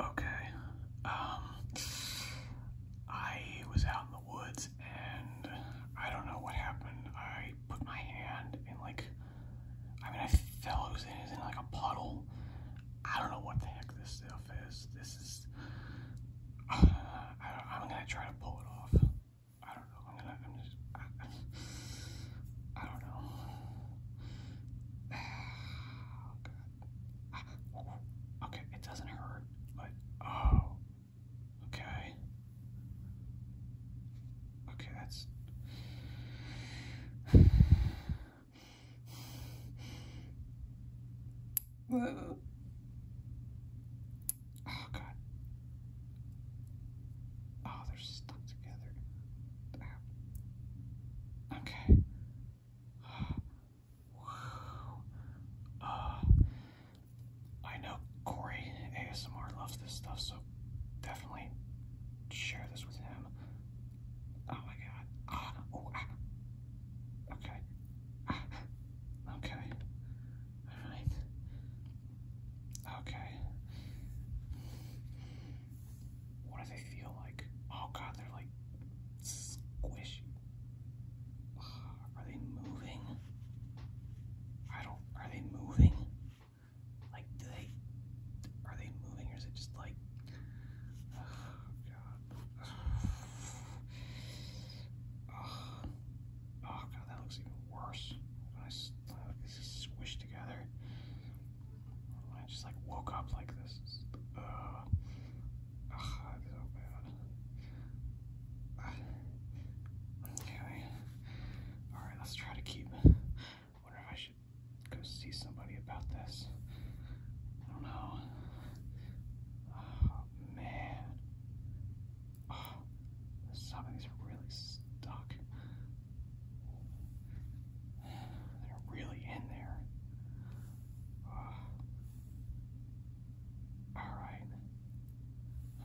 Okay. Um, I was out in the woods and I don't know what happened. I put my hand in like, I mean, I fell. It was in, like a puddle. I don't know what the heck this stuff is. This is. I, am gonna try to pull it off. I don't know. I'm gonna. I'm just. I, don't know. God. Okay, it doesn't hurt, but oh. Okay. Okay, that's. oh, God. Oh, they're stuck together. Okay. I know Corey ASMR loves this stuff, so definitely share this with him. Oh my god. Ah, ah. Okay. Ah, okay. Alright. Okay. What do they feel like? Oh god, they're like squishy. Ah, are they moving? I don't. Are they moving? Like, do they? Are they moving, or is it just like? Oh god. Ah, oh, god, that looks even worse. When I, squished together. I just like woke up like this. Ugh. so bad. Okay. Alright, let's try to keep. Wonder if I should go see somebody about this. I don't know. Oh, man. Oh, really stuck. They're really in there. Alright.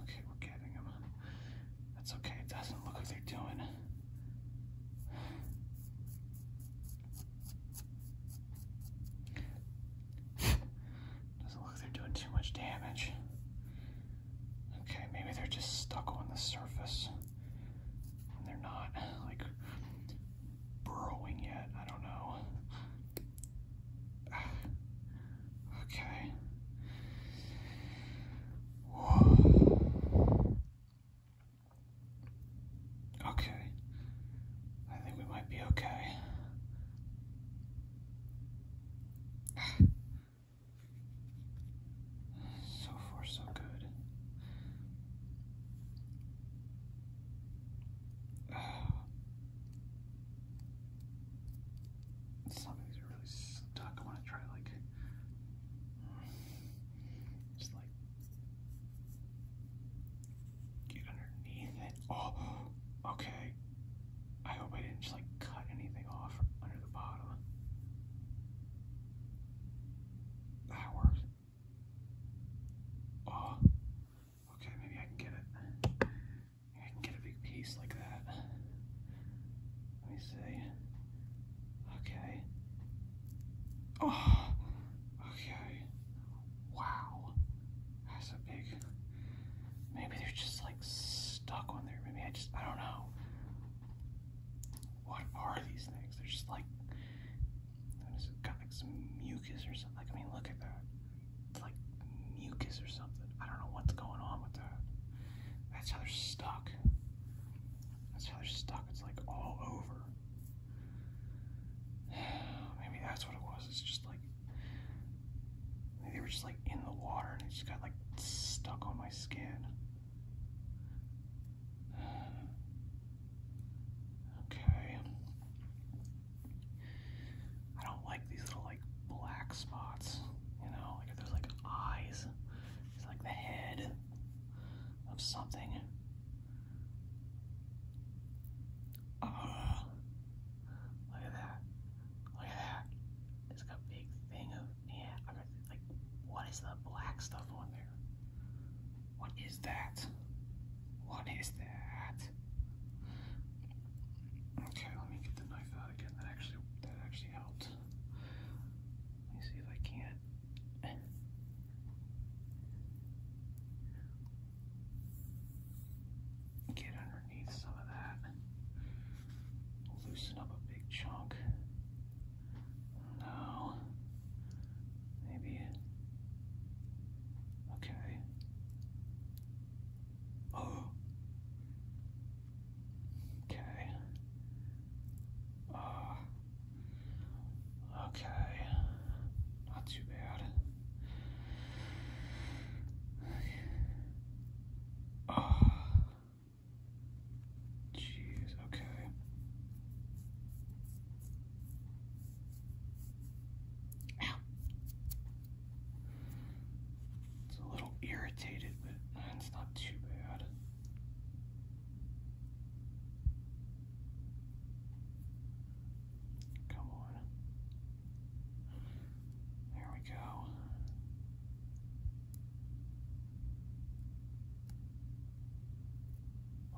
Okay, we're getting them. That's okay, it doesn't look like they're doing. Doesn't look like they're doing too much damage. Okay, maybe they're just stuck on the surface they're not like burrowing yet. I don't know. Okay. Okay. I think we might be okay. So far, so good. Some really stuck. I want to try like just like get underneath it. Oh, okay. I hope I didn't just like cut anything off under the bottom. That works. Oh, okay, maybe I can get it. I can get a big piece like that. Let me see. Okay. Oh, okay. Wow. That's big. Maybe they're just like stuck on there. Maybe I just, I don't know what are these things? They're just like, got like some mucus or something. Like, I mean, look at that. It's like mucus or something. I don't know what's going on with that. That's how they're stuck. That's how they're stuck. It's like all over. Maybe that's what it was. It's just like, they were just like in the water and it just got like stuck on my skin. Okay. I don't like these little like black spots, you know, like there's like eyes. It's like the head of something. Uh, look at that. Look at that. It's a big thing yeah. like, what is the black stuff on there? What is that? What is that? Okay, let me get the knife out again. That actually that actually helped. Let me see if I can Get underneath some of that loosen up a big chunk. No. Maybe. Okay. Oh. Okay. Uh, okay. Not too bad. Oh. Jeez, okay. Ow. It's a little irritated, but it's not too bad. Come on. There we go.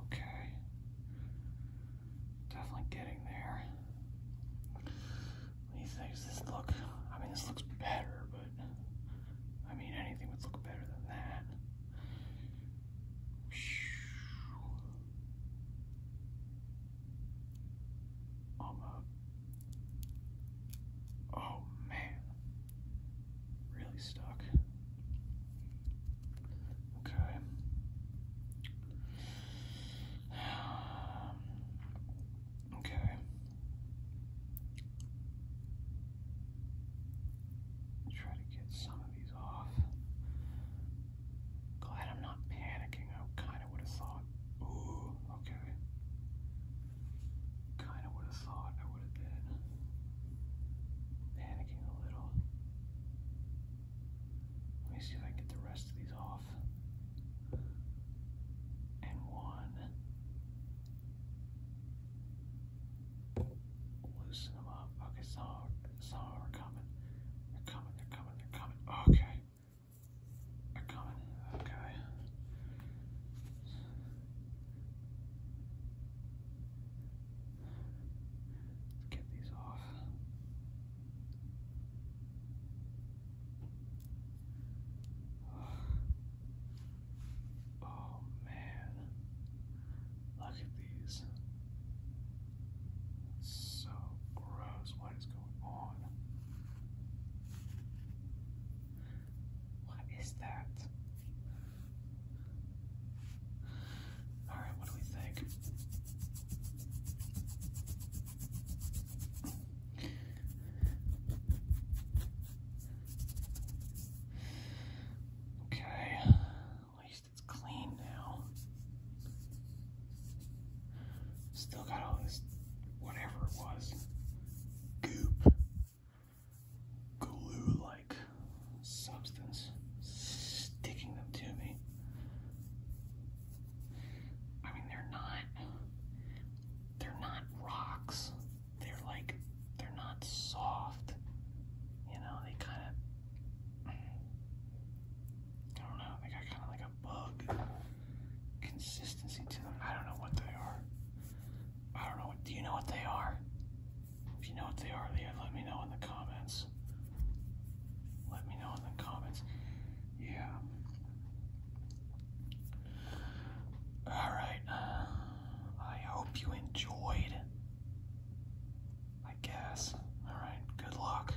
Okay. Definitely getting there. What do look? I mean, this looks better, but I mean, anything would look better than that. i Oh man, really stuck. Okay. Okay. Try to get some of these off. Glad I'm not panicking. I oh, Kinda would have thought. Ooh, okay. Kinda would have thought I would have been panicking a little. Let me see if I get the rest of these off. And one. Loosen them up. Okay, some are, some are coming. They're coming, they're coming, they're coming. Okay are coming. Okay. Let's get these off. Oh, man. Look at these. so gross. What is going on? What is that? Alright, what do we think? Okay, at least it's clean now. Still got all this, whatever it was, goop, glue like substance sticking them to me. I mean, they're not, they're not rocks. They're like, they're not soft. You know, they kind of, I don't know, they got kind of like bug consistency to them. I don't know what they are. I don't know. What, do you know what they are? If you know what they are, there, let me know in the comments. Let me know in the comments. Yeah. All right. Uh, I hope you enjoyed. I guess. All right. Good luck.